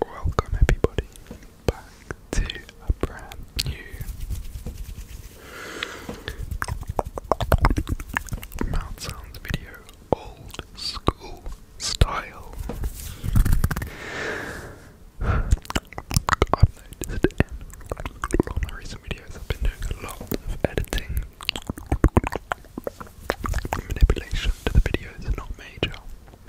Welcome everybody back to a brand new Mount Sounds video, old school style. I've noticed in all my recent videos I've been doing a lot of editing manipulation to the videos, not major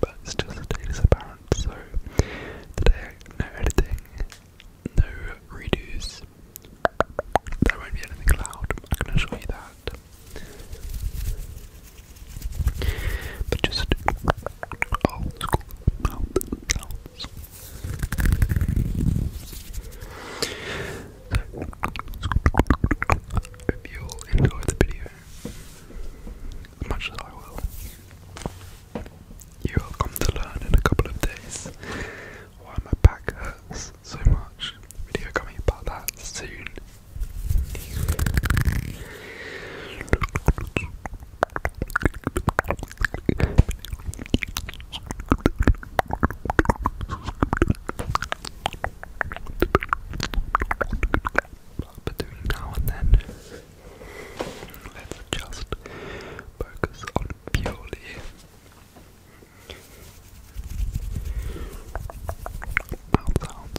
but still, the the is apparent. So today, no editing, no redos. There won't be anything loud. I can assure you that. But just old school mouth sounds. you all enjoy the video as much as I will. You will come to learn in a couple of days why my back hurts so much. Video coming about that soon between now and then, let's just focus on purely mouth sounds. Mouth sounds.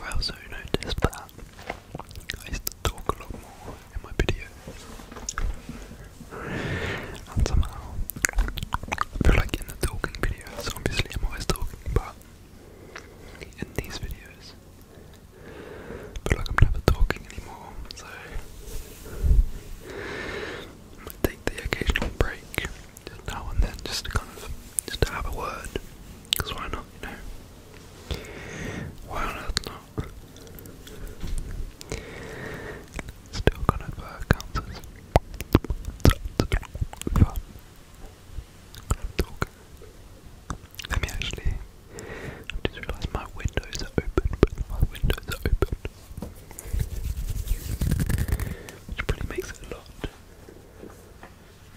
I also noticed that I used to talk a lot more in my videos. And somehow, feel like in the talking videos, obviously I'm always talking, but in these videos, feel like I'm never talking anymore, so I take the occasional break now and then just to kind of, just to have a word, because why not, you know? Why not? Still gonna uh, cancers. Let me actually. I just realised my windows are open. My windows are open, which probably makes it a lot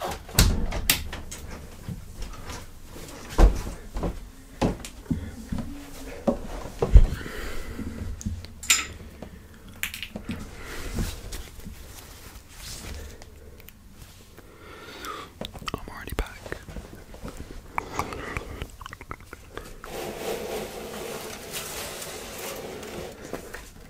I'm already back.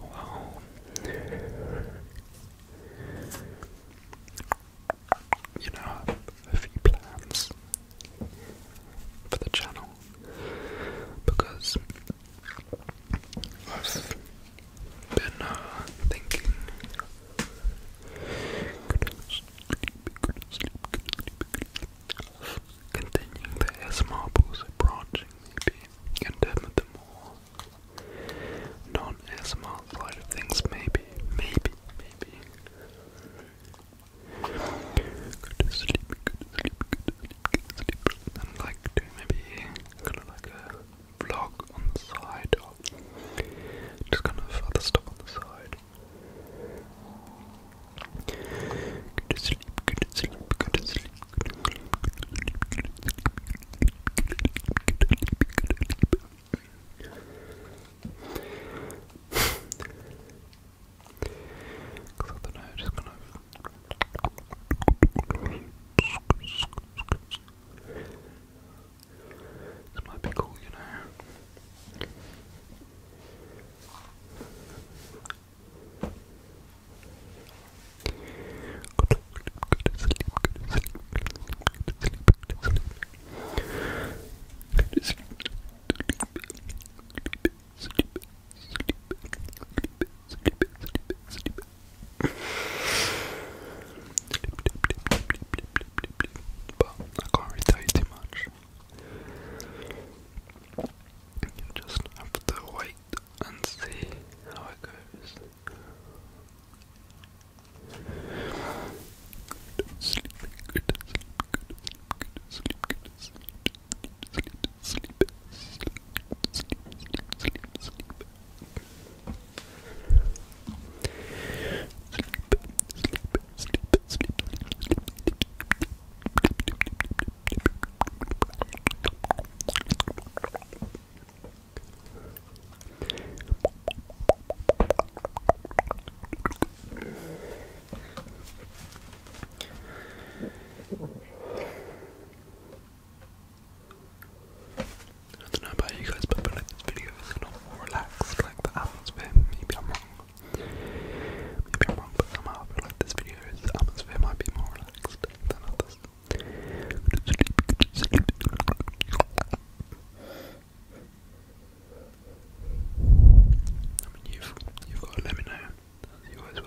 Wow. You know, a few plans for the channel because I've been uh, thinking. Continuing the S marbles, branching and damn the more non ASMR side of things, maybe, maybe, maybe. Go to sleep, go to sleep, go to sleep, And like maybe kind of like a vlog on the side just kind of other stuff on the side. Good to sleep, good to sleep, good to sleep, good to sleep, good to sleep, good to sleep, good to sleep, good to sleep, good to sleep, good to sleep. Cause I don't know, just kind of this might be cool, you know. But I can't really you much. You just have to wait and see how it goes. I don't know about you guys, but I like this video is not more relaxed like the atmosphere. Maybe I'm wrong. Maybe I'm wrong, but somehow I like this video's atmosphere might be more relaxed than others. I mean, you've, you've got to let me know, you always will.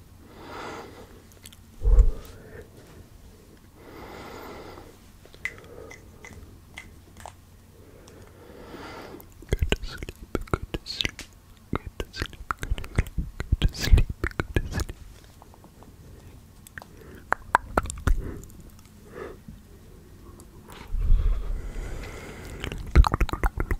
to sleep, good to sleep, good to sleep, good to sleep, good to sleep. Good to sleep.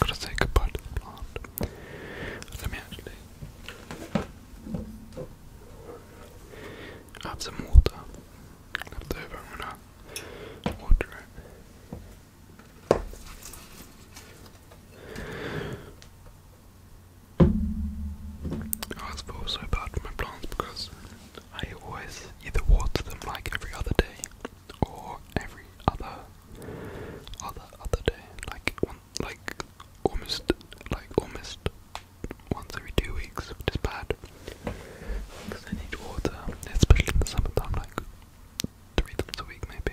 Gotta say goodbye to the plant. have some water left over. I'm water it. I always feel bad for my plants because I always either water them like every other day or every other other other day, like one, like almost like almost once every two weeks, which is bad because I need water, especially in the summertime, like three times a week maybe.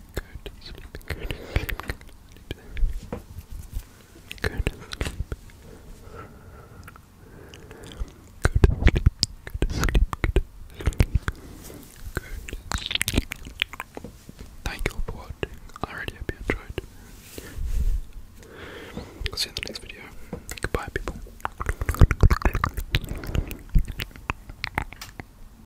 Good sleep, good sleep, good sleep. Good sleep. Good sleep, Thank you for watching. I already enjoyed. see you in the next video. Goodbye, people.